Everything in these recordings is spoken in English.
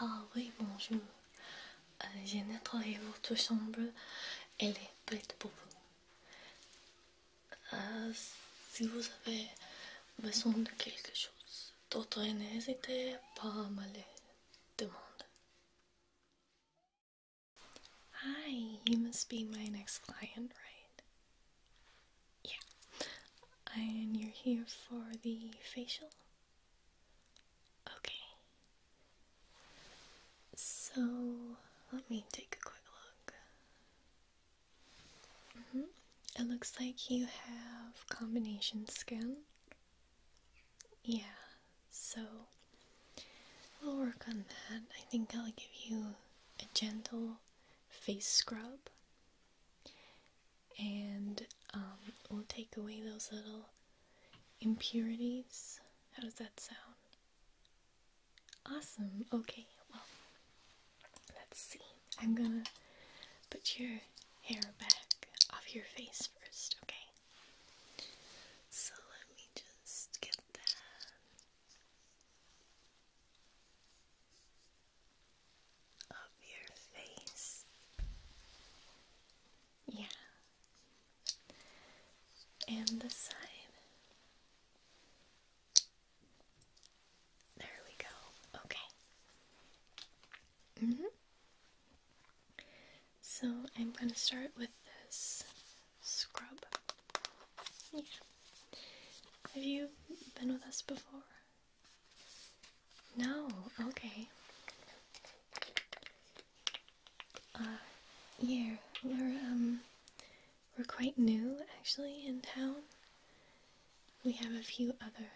Ah oui, bonjour. Euh, J'ai votre chambre. Elle est prête pour vous. Euh, si vous avez besoin de quelque chose d'autre, n'hésitez pas à me Hi, you must be my next client, right? Yeah. And you're here for the facial? Okay. So, let me take a quick look. Mm-hmm. It looks like you have combination skin. Yeah, so we'll work on that. I think I'll give you a gentle face scrub and um, we'll take away those little impurities. How does that sound? Awesome. Okay, well, let's see. I'm gonna put your hair back off your face first, okay? So let me just get that of your face. Yeah. And the side. There we go. Okay. -hmm. So I'm going to start with this scrub. Yeah. Have you been with us before? No, okay. Uh, yeah, we're, um, we're quite new actually in town. We have a few other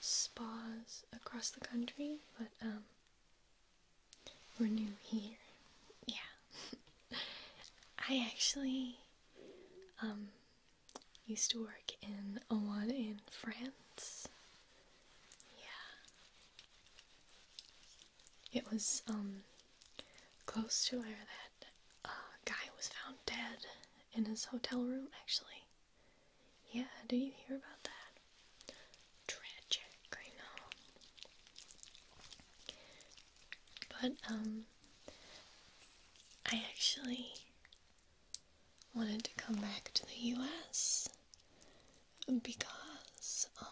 spas across the country, but, um, we're new here. Yeah. I actually, um, used to work in Owan in France. Yeah. It was um close to where that uh, guy was found dead in his hotel room actually. Yeah, do you hear about that? Tragic, I know. But um I actually wanted to come back to the US because um,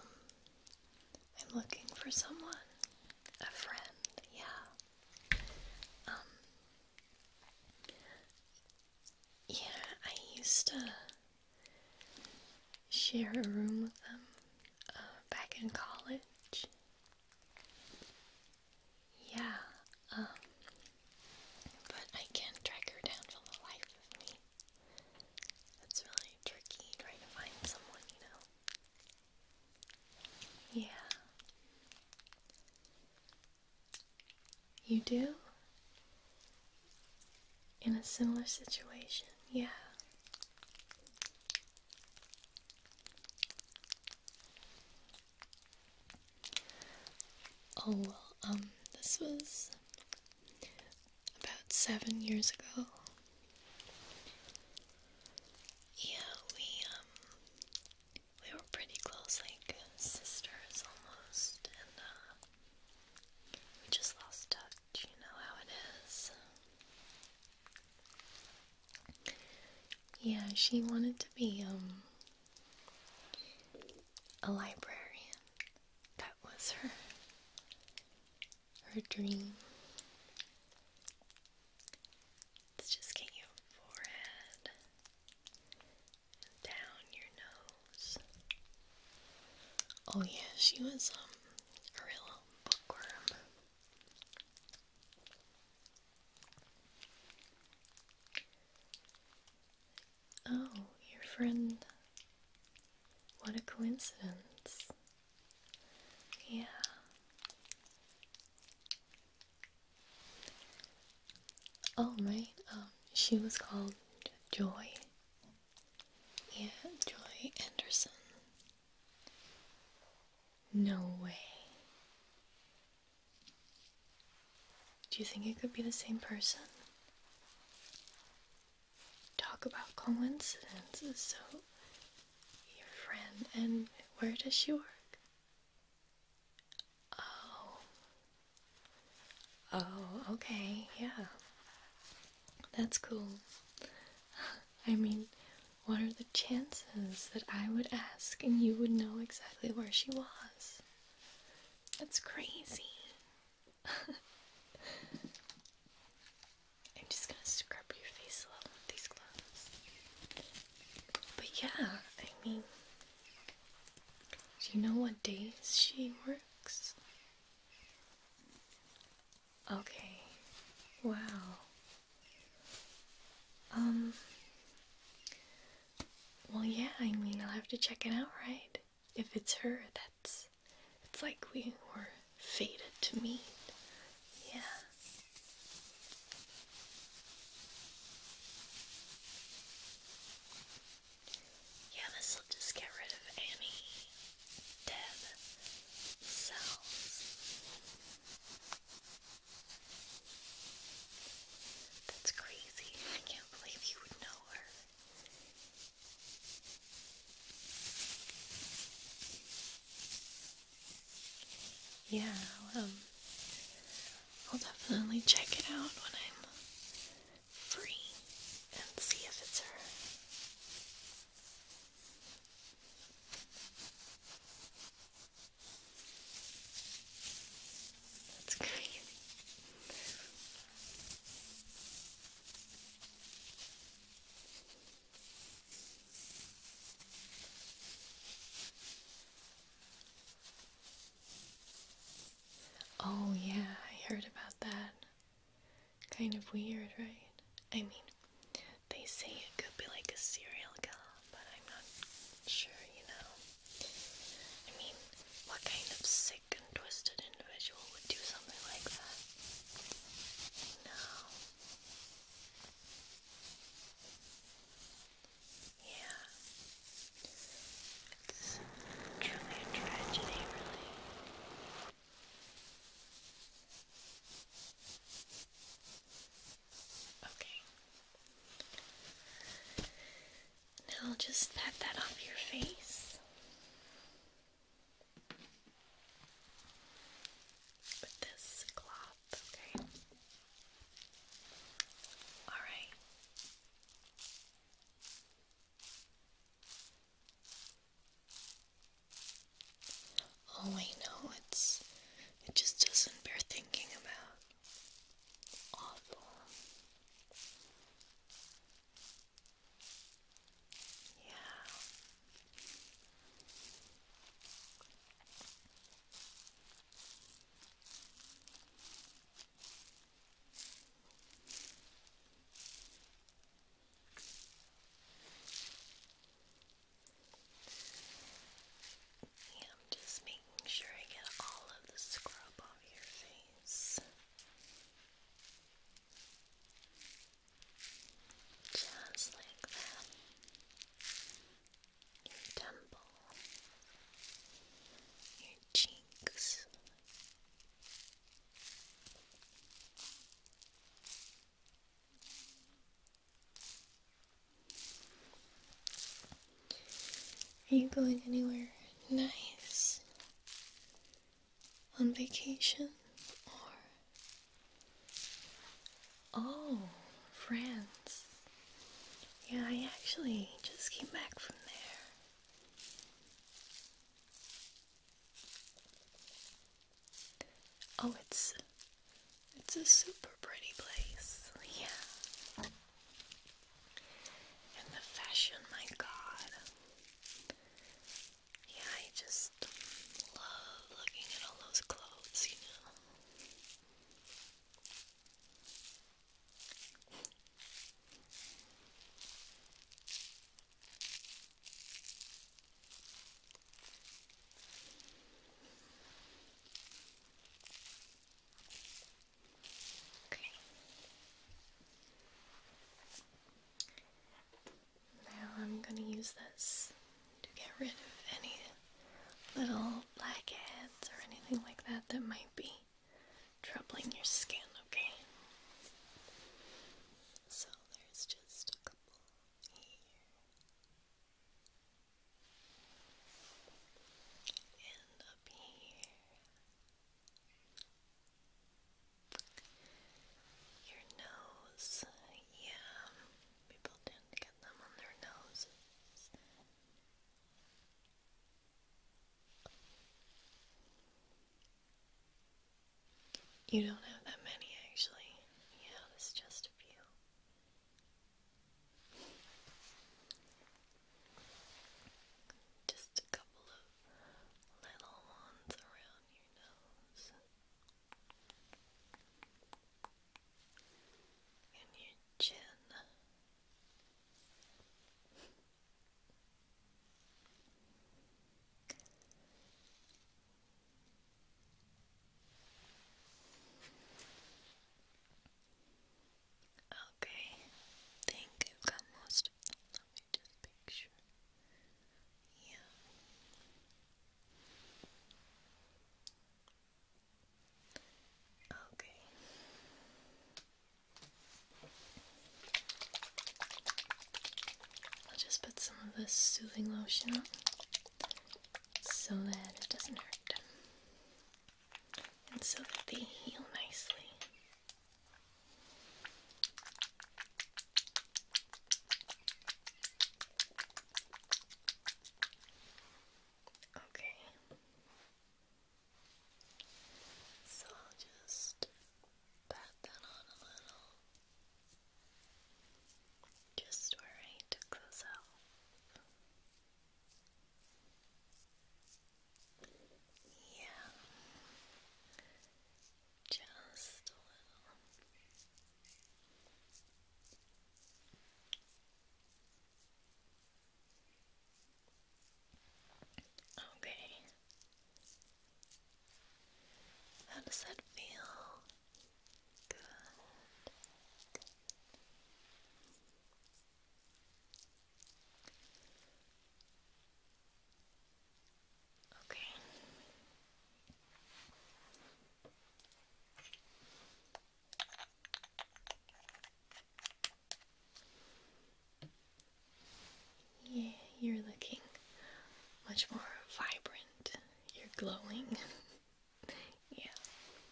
I'm looking for someone, a friend, yeah. Um, yeah, I used to share a room with them uh, back in college. Yeah, um, but I can't track her down for the life of me. It's really tricky trying to find someone, you know. Yeah. You do? In a similar situation, yeah. Oh well, um, this was about seven years ago. Yeah, we, um, we were pretty close, like sisters almost, and, uh, we just lost touch, you know how it is. Yeah, she wanted to be um, a librarian. That was her her dream. Let's just get your forehead down your nose. Oh yeah, she was um, a real bookworm. Oh, your friend. What a coincidence. Yeah. Oh, right. Um, she was called Joy. Yeah, Joy Anderson. No way. Do you think it could be the same person? Talk about coincidences. So, your friend, and where does she work? Oh. Oh, okay, yeah. That's cool. I mean, what are the chances that I would ask and you would know exactly where she was? That's crazy. I'm just gonna scrub your face a little with these gloves. But yeah, I mean, do you know what days she works? Okay, wow. Um. Well, yeah, I mean, I'll have to check it out, right? If it's her, that's. It's like we were fated to meet. Yeah. Yeah, this'll just get rid of any dead cells. That's crazy. I can't believe you would know her. Yeah, um, I'll, definitely check it out when I'm free and see if it's her. That's crazy. Oh, yeah, I heard about that. Kind of weird, right? I mean, they say it could be like a serial killer but I'm not sure, you know. I mean, what kind of sick and twisted individual would do something like that? No. Yeah. It's truly a tragedy, really. Okay. I'll just pat that off your face with this cloth, okay? Alright. Oh, I know it's it just doesn't bear thinking about awful. Yeah. I'm just making sure I get all of the scrub off your face. Just like that. Your temple, your cheeks. Are you going anywhere nice? On vacation? Or. Oh, France. Yeah, I actually just came back from there. Oh, it's it's a super pretty place, yeah. And the fashion, my god. Yeah, I just love looking at all those clothes, you know. Now I'm going to use this to get rid of any little blackheads or anything like that that might be troubling your skin, okay? So there's just a couple here and up here. Your nose, yeah, people tend to get them on their noses. You don't have that many actually. Yeah, it's just a few. Just a couple of little ones around your nose and your chin. Okay, think I've got most Let me just make sure. Yeah. Okay. I'll just put some of this soothing lotion on so that it doesn't hurt and so that they heal nicely. Okay. So I'll just pat that on a little. Just where right close out. Yeah. Just a little. Okay. How does that feel? Good. Good. Okay. Yeah, you're looking much more vibrant. You're glowing. yeah.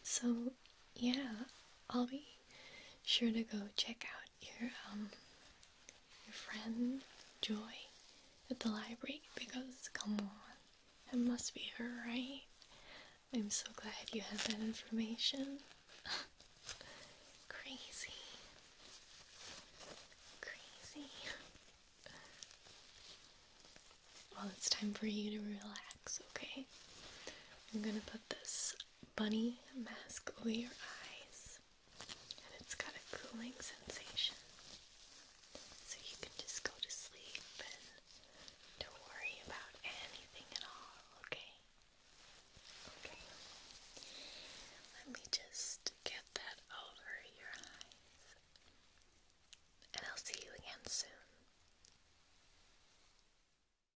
So yeah, I'll be sure to go check out your um your friend Joy at the library because come on, it must be her, right? I'm so glad you have that information. Crazy. Crazy. Well, it's time for you to relax, okay? I'm gonna put this bunny mask over your eyes, and it's got a cooling sensation. So you can just go to sleep and don't worry about anything at all, okay? Okay. Let me just get that over your eyes. And I'll see you again soon.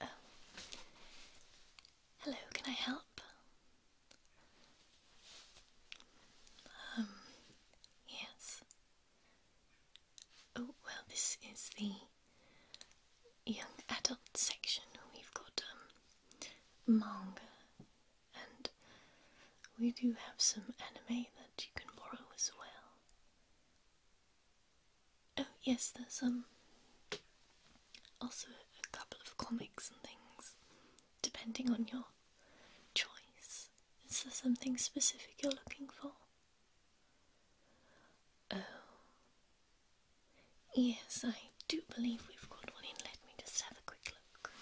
Oh. Hello, can I help? Um, yes. Oh, well, this is the young adult section, we've got um, manga, and we do have some anime that you can borrow as well. Oh, yes, there's um, also a couple of comics and things, depending on your choice. Is there something specific you're looking for? Oh, Yes, I do believe we've got one in. Let me just have a quick look.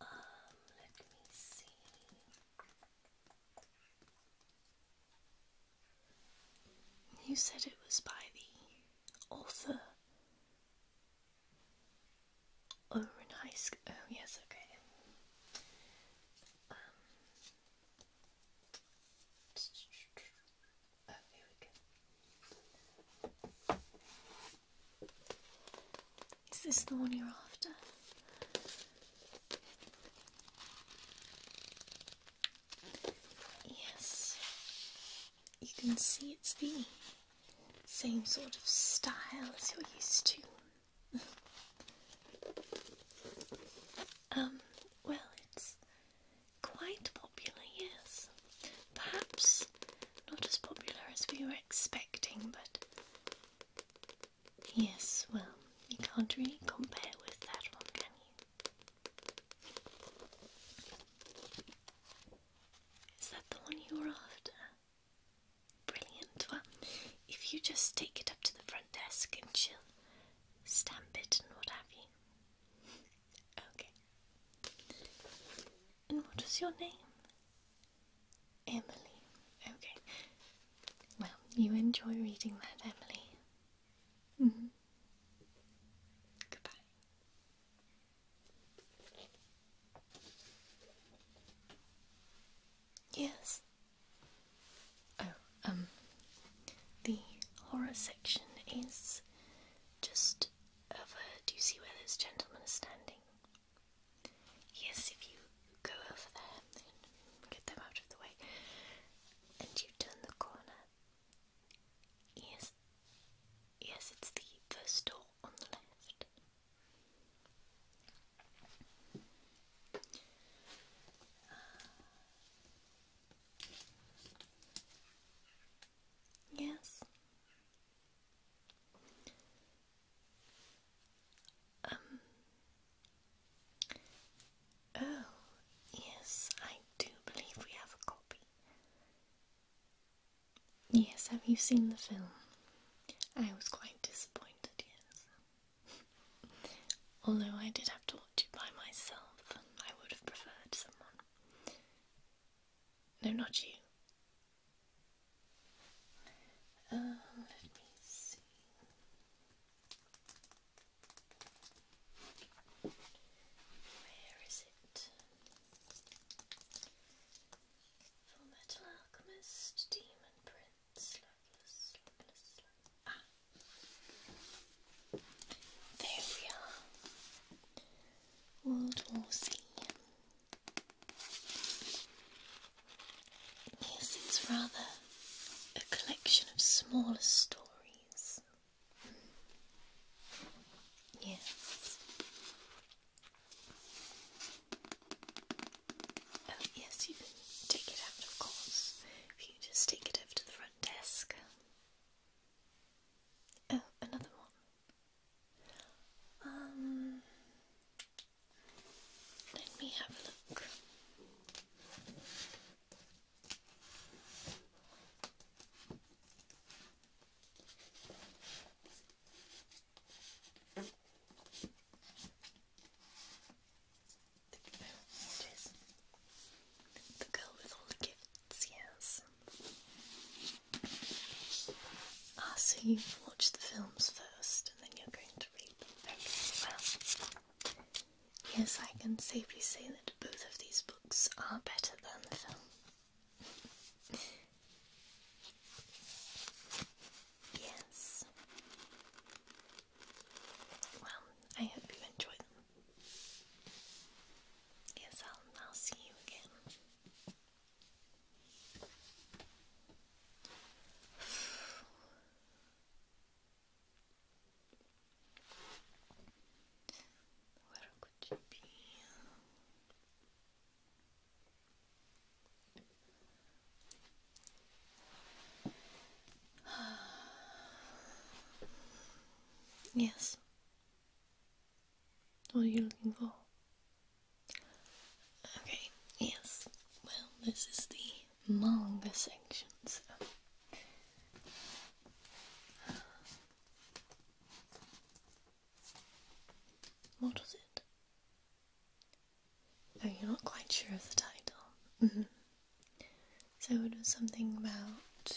Um, let me see. You said it was by the author Oren High Oh, yes, okay. Um, Oh, Is this the one you're after? Yes. You can see it's the same sort of style as you're used to. um, well, it's quite popular, yes. Perhaps not as popular as we were expecting, but yes, well, you can't really compare with that one, can you? Is that the one you were after? Brilliant. Well, if you just take it up to the front desk and she'll stamp it and what have you. Okay. And what is your name? Emily. Okay. Well, you enjoy reading that, Emily. -hmm. Goodbye. Yes. Oh, um, the horror section is just over. Do you see where those gentlemen are standing? Yes, if you go over there and get them out of the way, and you turn the corner. Yes, yes, it's the first door on the left. Yes. Um. Oh, yes, I do believe we have a copy. Yes, have you seen the film? I was quite disappointed, yes. Although I did have to watch it by myself, I would have preferred someone. No, not you. Uh, let me see. Where is it? Full Metal Alchemist, Demon Prince. There we are. World War Z. Yes, it's rather a collection of smaller stories. Mm. Yes. Oh, yes, you can take it out, of course. If you just take it over to the front desk. Oh, another one. Um, let me have a look it is. The girl with all the gifts, yes. Ah, so you've the films first and then you're going to read well, yes, I can safely say that both of these books are better than the film. yes. Well, I hope you enjoy them. Yes, I'll see you again. Where could you be? yes. What are you looking for? Okay, yes. Well, this is the manga section, so. it? Oh, you're not quite sure of the title. Mm-hmm. So it was something about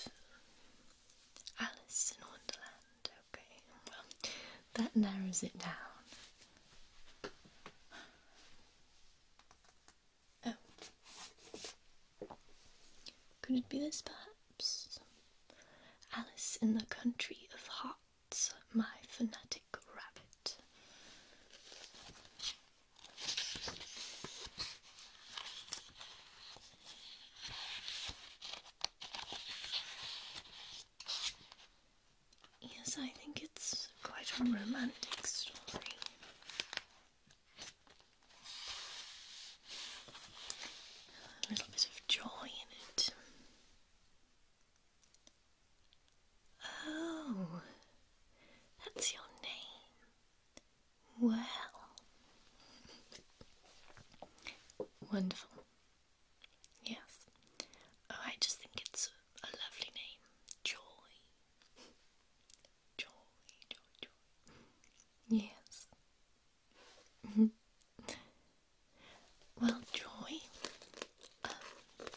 Alice in Wonderland. Okay, well, that narrows it down. Oh. Could it be this perhaps? Alice in the Country of Hearts, my fanatic rabbit. Yes, I think it's quite a romantic story. A little bit of joy in it. Oh, that's your name. Well, wonderful. Yes. Oh, I just think it's a lovely name. Joy. Joy, joy, joy. Yes. Mm-hmm. well, Joy, um,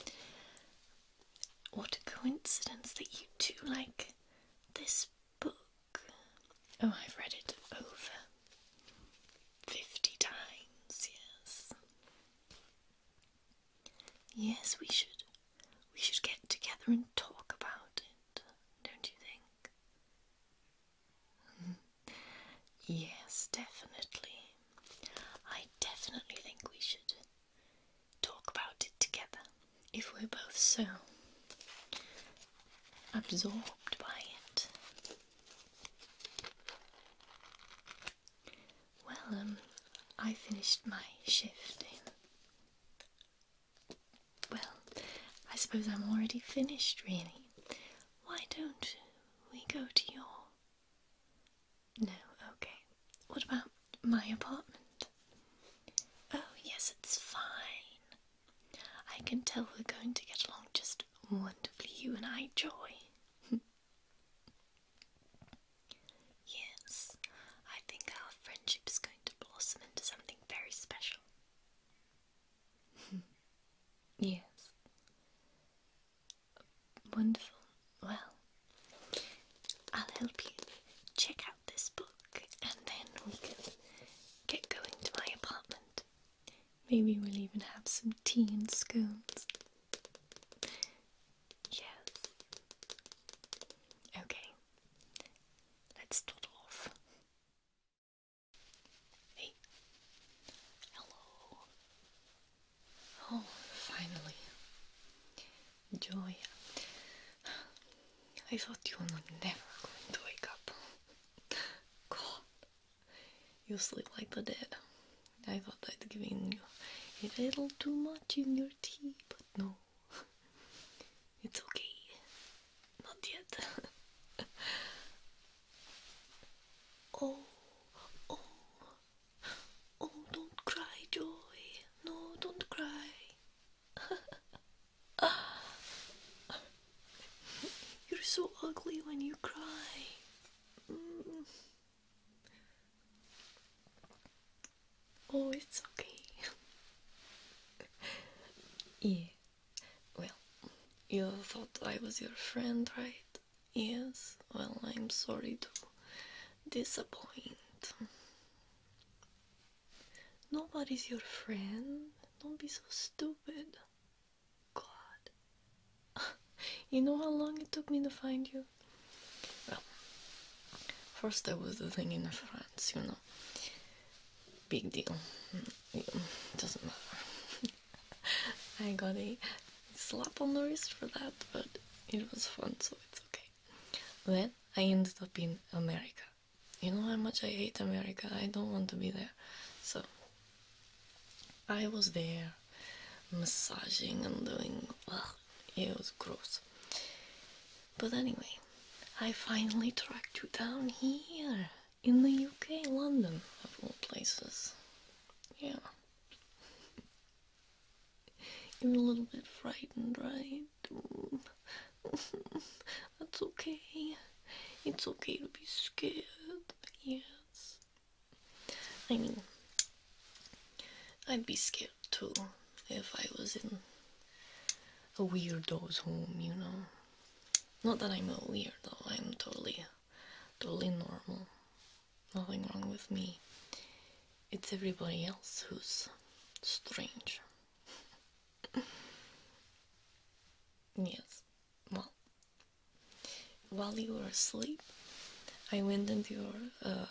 what a coincidence that you two like this book. Oh, I've read it over 50 times, yes. Yes, we should. We should get together and talk about it, don't you think? Hmm. yes, definitely. I definitely think we should talk about it together if we're both so absorbed by it. Well, um, I finished my shift Well, I suppose I'm already finished, really. Why don't we go to your. No, okay. What about my apartment? Oh, yes, it's fine. I can tell we're going to get along just wonderfully, you and I, Joy. yes, I think our friendship is going to blossom into something very special. yes. Wonderful. Well, I'll help you check out this book and then we can get going to my apartment. Maybe we'll even have some tea and scones. Yes. Okay. Let's start off. Hey. Hello. Oh, finally. Joya. I thought you were never going to wake up. God. You sleep like the dead. I thought I'd given you a little too much in your tea, but no. It's okay. Not yet. oh, oh, oh, don't cry, Joy. No, don't cry. You're so ugly when you cry. Mm. Oh, it's okay. yeah. Well, you thought I was your friend, right? Yes. Well, I'm sorry to disappoint. Nobody's your friend. Don't be so stupid. God. you know how long it took me to find you? Well, first there was the thing in France, you know. Big deal. Mm, doesn't matter. I got a slap on the wrist for that, but it was fun, so it's okay. Then I ended up in America. You know how much I hate America. I don't want to be there. So I was there massaging and doing ugh, it was gross. But anyway, I finally tracked you down here in the UK, London, of all places. Yeah. You're a little bit frightened, right? That's okay. It's okay to be scared. Yes. I mean, I'd be scared too if I was in a weirdo's home, you know. Not that I'm a weirdo, I'm totally, totally normal. Nothing wrong with me. It's everybody else who's strange yes, well, while you were asleep, I went into your uh,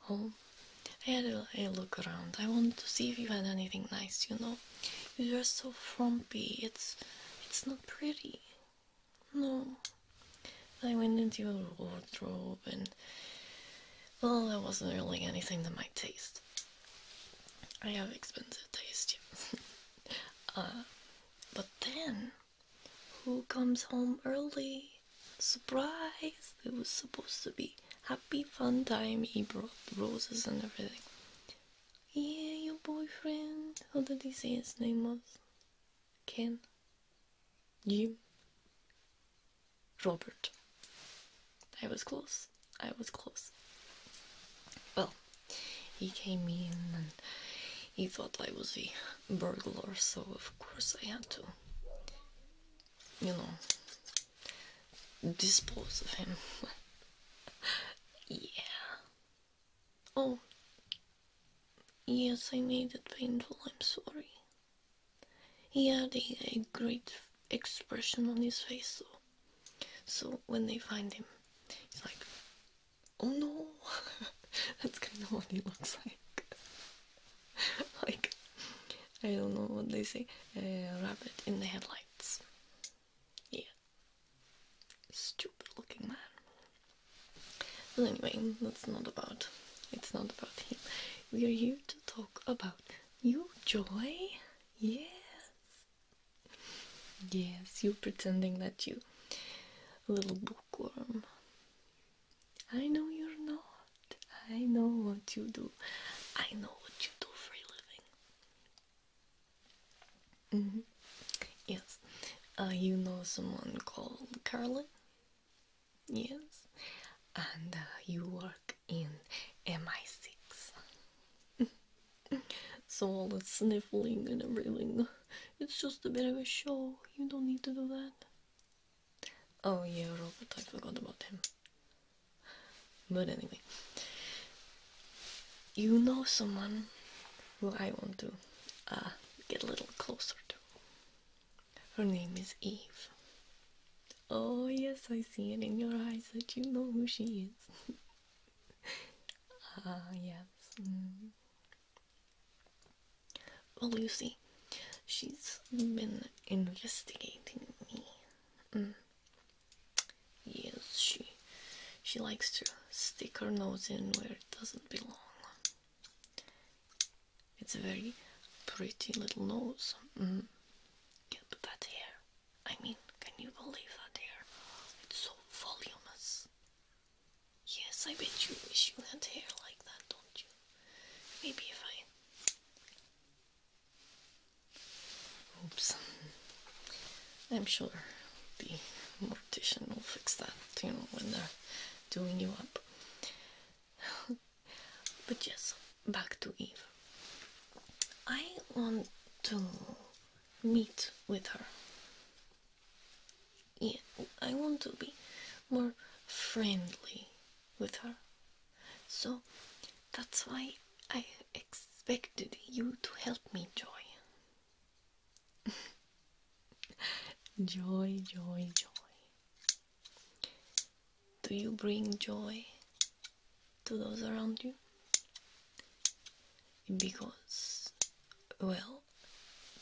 home. I had a, look around. I wanted to see if you had anything nice. You know, you're so frumpy. It's it's not pretty. No. I went into your wardrobe and well, there wasn't really anything to my taste. I have expensive taste. uh, but then, who comes home early? Surprise! It was supposed to be happy, fun time. He brought roses and everything. Yeah, your boyfriend. How did he say his name was? Ken? Jim? Robert. I was close. I was close. Well, he came in and he thought I was a burglar, so of course I had to, you know, dispose of him. yeah. Oh, yes, I made it painful. I'm sorry. He had a, great expression on his face, though. So when they find him, he's like, "Oh no!" That's kind of what he looks like. like I don't know what they say. A rabbit in the headlights. Yeah. Stupid looking man. But anyway, that's not about. It's not about him. We are here to talk about you joy? Yes. Yes, you're pretending that you little bookworm. I know you're not. I know what you do. I know what you do for a living. Mm-hmm. Yes. Uh, you know someone called Carly? Yes. And uh, you work in MI6. so all the sniffling and everything, it's just a bit of a show. You don't need to do that. Oh yeah, Robert, I forgot about him. But anyway, you know someone who I want to uh, get a little closer to. Her name is Eve. Oh, yes, I see it in your eyes that you know who she is. Ah, yes. Mm. Well, Lucy, she's been investigating me. Mm. Yes, she she likes to stick her nose in where it doesn't belong. It's a very pretty little nose. Mm. Yeah, but that hair, I mean, can you believe that hair? It's so voluminous. Yes, I bet you wish you had hair like that, don't you? Maybe if I. Oops. I'm sure the mortician will fix that, you know, when they're doing you up. But yes, back to Eve. I want to meet with her. Yeah, I want to be more friendly with her. So that's why I expected you to help me, Joy. joy, joy, joy. Do you bring joy to those around you? Because, well,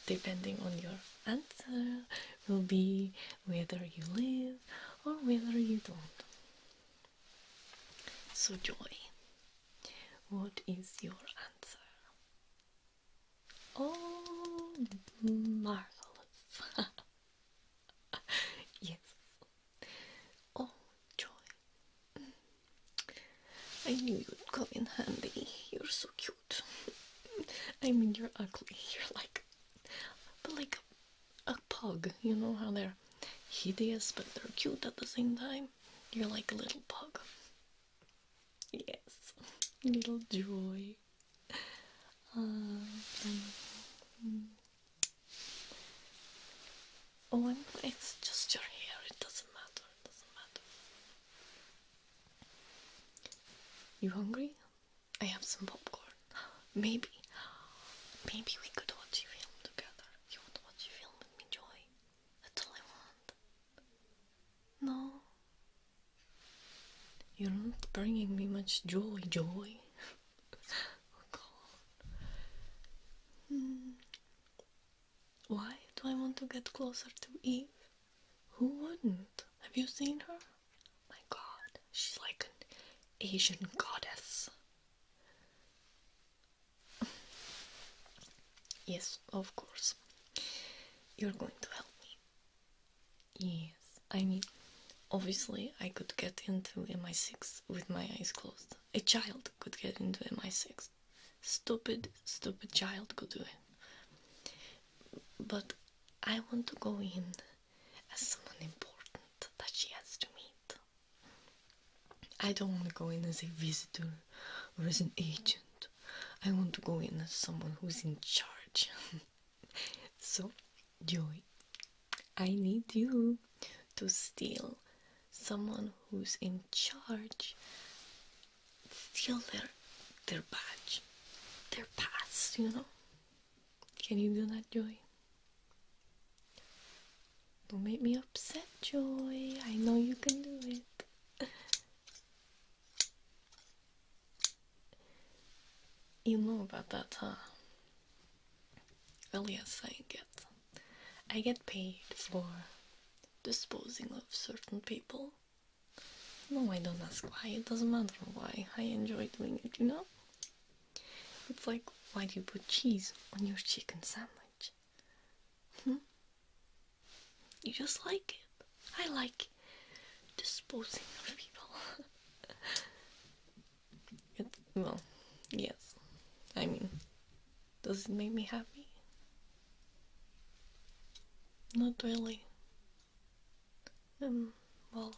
depending on your answer, will be whether you live or whether you don't. So, joy, what is your answer? Oh, marvelous! yes, Oh, joy. Mm. I knew you'd come in handy. You're so cute. I mean, you're ugly. You're like, but like a pug. You know how they're hideous, but they're cute at the same time. You're like a little pug. Yes, little joy. Uh, um, hmm. Oh, it's just your hair, it doesn't matter, it doesn't matter. You hungry? I have some popcorn. Maybe, maybe we could watch a film together. You want to watch a film with me, Joy? That's all I want. No. You're not bringing me much joy, Joy. Oh, hmm. Why do I want to get closer to Eve? Who wouldn't? Have you seen her? My God, she's like an Asian goddess. yes, of course. You're going to help me. Yes, I need. Obviously, I could get into MI6 with my eyes closed. A child could get into MI6. Stupid, stupid child could do it. But I want to go in as someone important that she has to meet. I don't want to go in as a visitor or as an agent. I want to go in as someone who's in charge. so, Joey, I need you to steal someone who's in charge. Steal their their badge, their pass, you know. Can you do that, Joy? Don't make me upset, Joy. I know you can do it. You know about that, huh? Well, yes, I get. I get paid for disposing of certain people. No, I don't ask why. It doesn't matter why. I enjoy doing it, you know? It's like, why do you put cheese on your chicken sandwich? Hmm? You just like it. I like disposing of people. well, yes. I mean, does it make me happy? Not really. Um, well,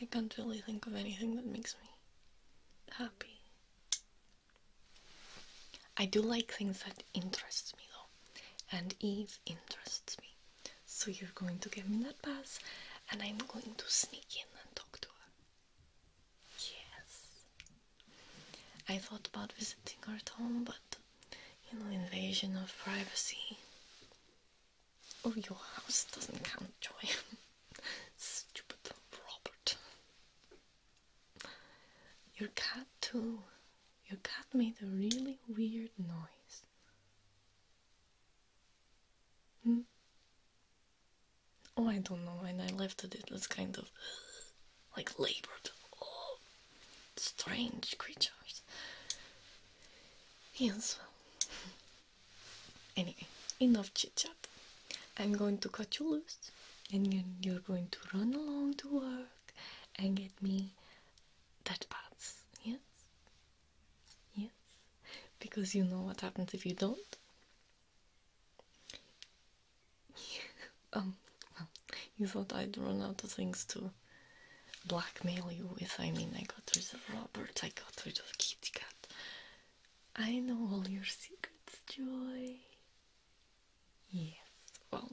I can't really think of anything that makes me happy. I do like things that interest me though, and Eve interests me. So you're going to give me that pass, and I'm going to sneak in and talk to her. Yes. I thought about visiting her home, but you know, invasion of privacy. Oh, your house doesn't count, Joy. Stupid Robert. Your cat, too. Your cat made a really weird noise. Hmm? Oh, I don't know. When I left it, it was kind of like labored. Oh, strange creatures. Yes. Anyway, enough chit chat. I'm going to cut you loose, and you're going to run along to work and get me that pads. Yes? Yes? Because you know what happens if you don't? um, you thought I'd run out of things to blackmail you with. I mean, I got rid of Robert, I got rid of Kitty Cat. I know all your secrets, Joy. Yes, well,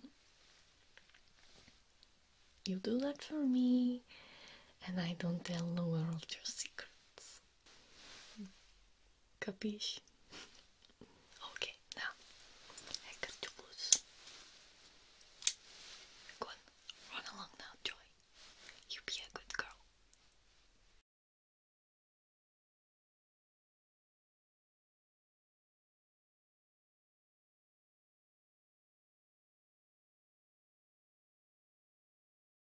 you do that for me, and I don't tell the world your secrets. Capisci? Ok, now I to lose. Go on, run along now, Joy. You be a good girl.